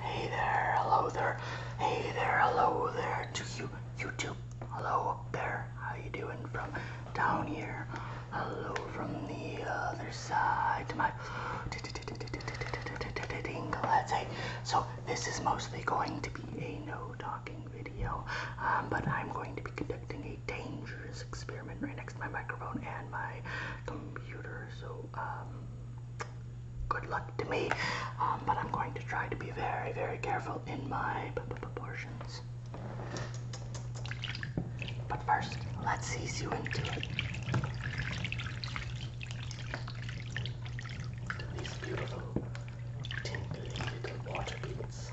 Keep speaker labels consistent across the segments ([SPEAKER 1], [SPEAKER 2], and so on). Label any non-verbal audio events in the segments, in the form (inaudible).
[SPEAKER 1] Hey there, hello there, hey there, hello there to you, YouTube. Hello up there, how you doing from down here? Hello from the other side to my let's say. So this is mostly going to be a no talking video, um, but I'm going to be conducting a dangerous experiment right next to my microphone and my computer. So um, good luck to me. Um, but I'm going to try to be very, very careful in my proportions. But first, let's ease you into it. These beautiful, tingly little water beads.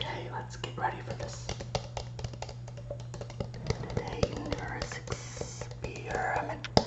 [SPEAKER 1] Okay, let's get ready for this. Today, Neurosis Experiment. Okay.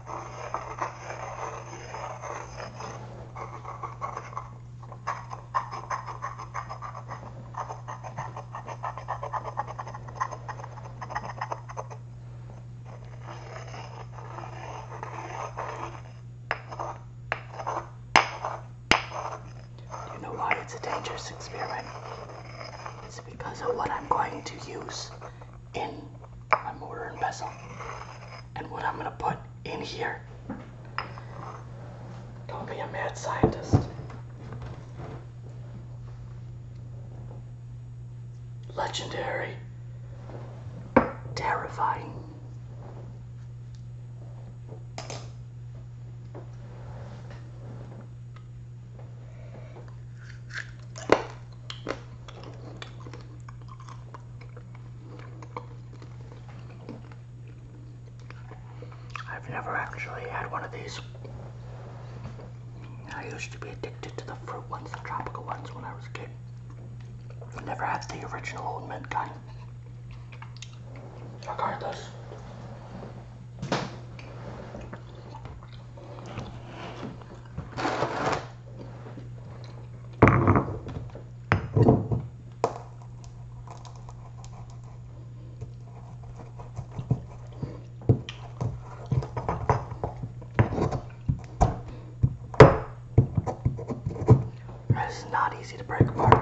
[SPEAKER 1] You know why it's a dangerous experiment? It's because of what I'm going to use in my mortar and pestle and what I'm going to put in here. Don't be a mad scientist. Legendary. Terrifying. I've never actually had one of these. I used to be addicted to the fruit ones, the tropical ones, when I was a kid. I never had the original Old Mint kind. Regardless. It's not easy to break apart.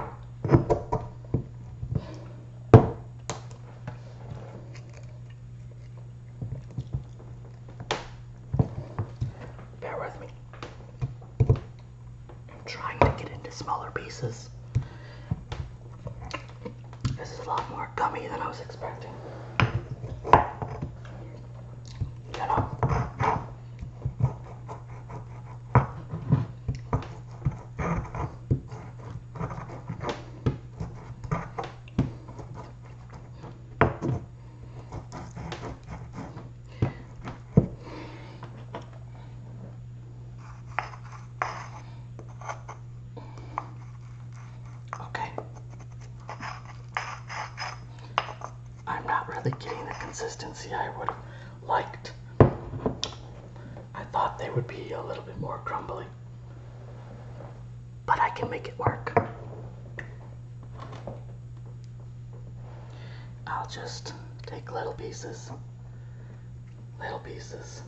[SPEAKER 1] Bear with me. I'm trying to get into smaller pieces. This is a lot more gummy than I was expecting. You know? Okay. I'm not really getting the consistency I would have liked. I thought they would be a little bit more crumbly but I can make it work. I'll just take little pieces, little pieces,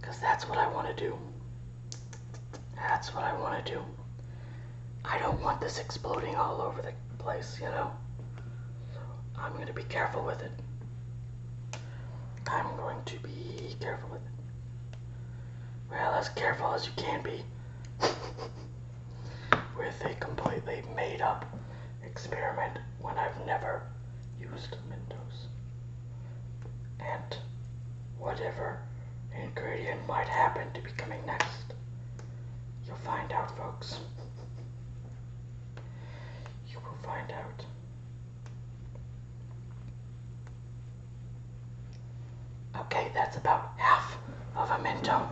[SPEAKER 1] because that's what I want to do. That's what I want to do. I don't want this exploding all over the place, you know? So I'm going to be careful with it. I'm going to be careful with it well, as careful as you can be with a completely made up experiment when I've never used Windows. And whatever ingredient might happen to be coming next, you'll find out, folks. You will find out. Okay, that's about half of a Minto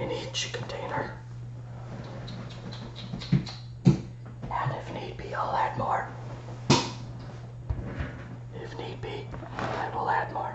[SPEAKER 1] in each container. And if need be, I'll add more. If need be, I will add more.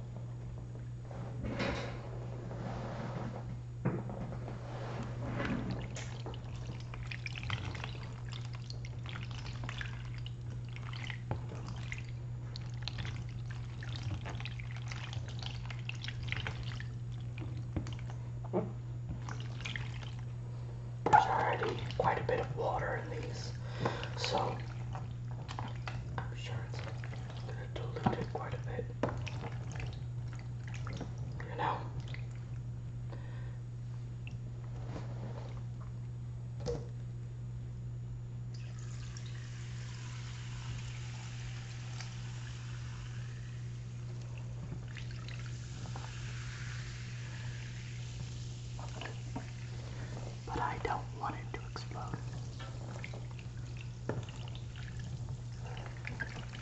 [SPEAKER 1] There's already quite a bit of water in these, so I'm sure it's diluted quite a bit. You know? but I don't want it to explode.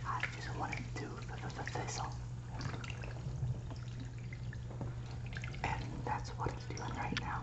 [SPEAKER 1] I just want it to fizzle. And that's what it's doing right now.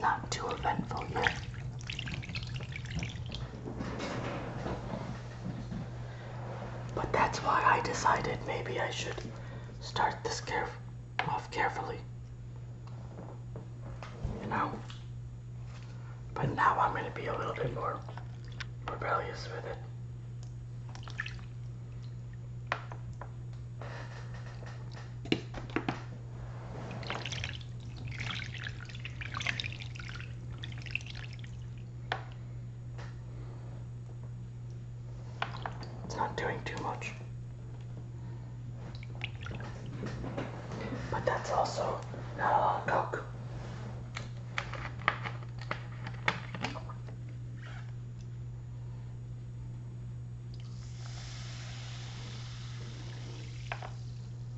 [SPEAKER 1] Not too eventful yet. But that's why I decided maybe I should start this care off carefully. You know? But now I'm going to be a little bit more rebellious with it. It's not doing too much. But that's also not a lot of coke.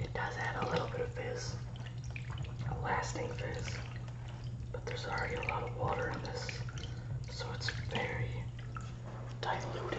[SPEAKER 1] It does add a little bit of this lasting fizz but there's already a lot of water in this, so it's very diluted.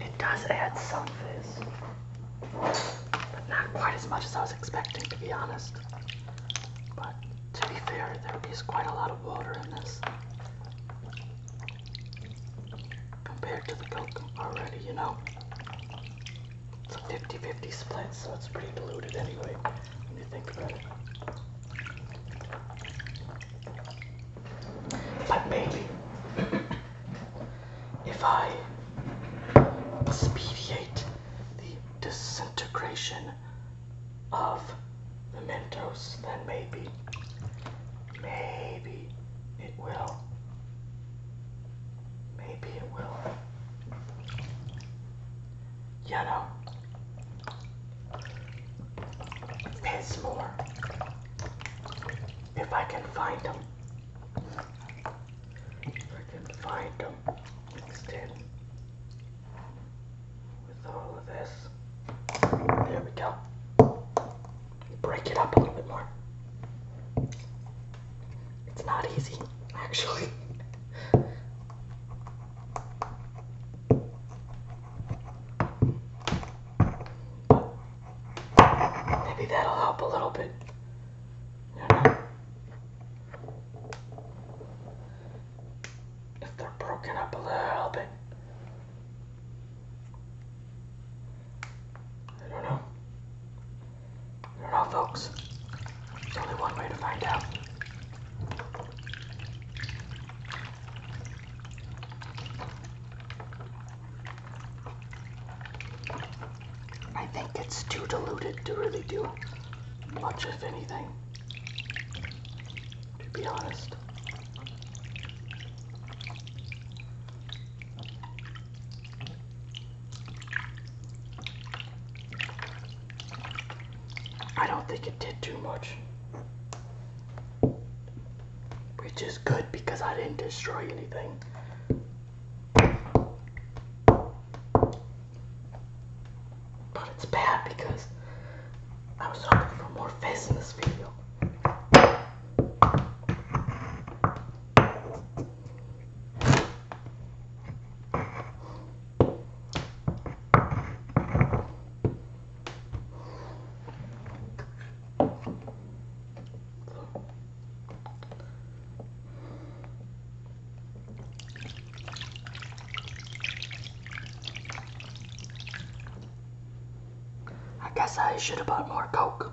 [SPEAKER 1] It does add some fizz, but not quite as much as I was expecting, to be honest. But to be fair, there is quite a lot of water in this compared to the Coke already, you know. It's a 50 50 split, so it's pretty diluted anyway, when you think about it. But maybe (coughs) if I expedite the disintegration of mementos. then maybe, maybe it will. Maybe it will. You know, it's more. If I can find them. If I can find them. It's tin with all of this. There we go. Break it up a little bit more. It's not easy, actually. Maybe that'll help a little bit. You know? if they're broken up a little bit. I don't know. I don't know, folks. There's only one way to find out. I think it's too diluted to really do much, if anything, to be honest. I don't think it did too much. Which is good because I didn't destroy anything. But it's bad because I was hoping for more face in this video. I guess I should have bought more Coke.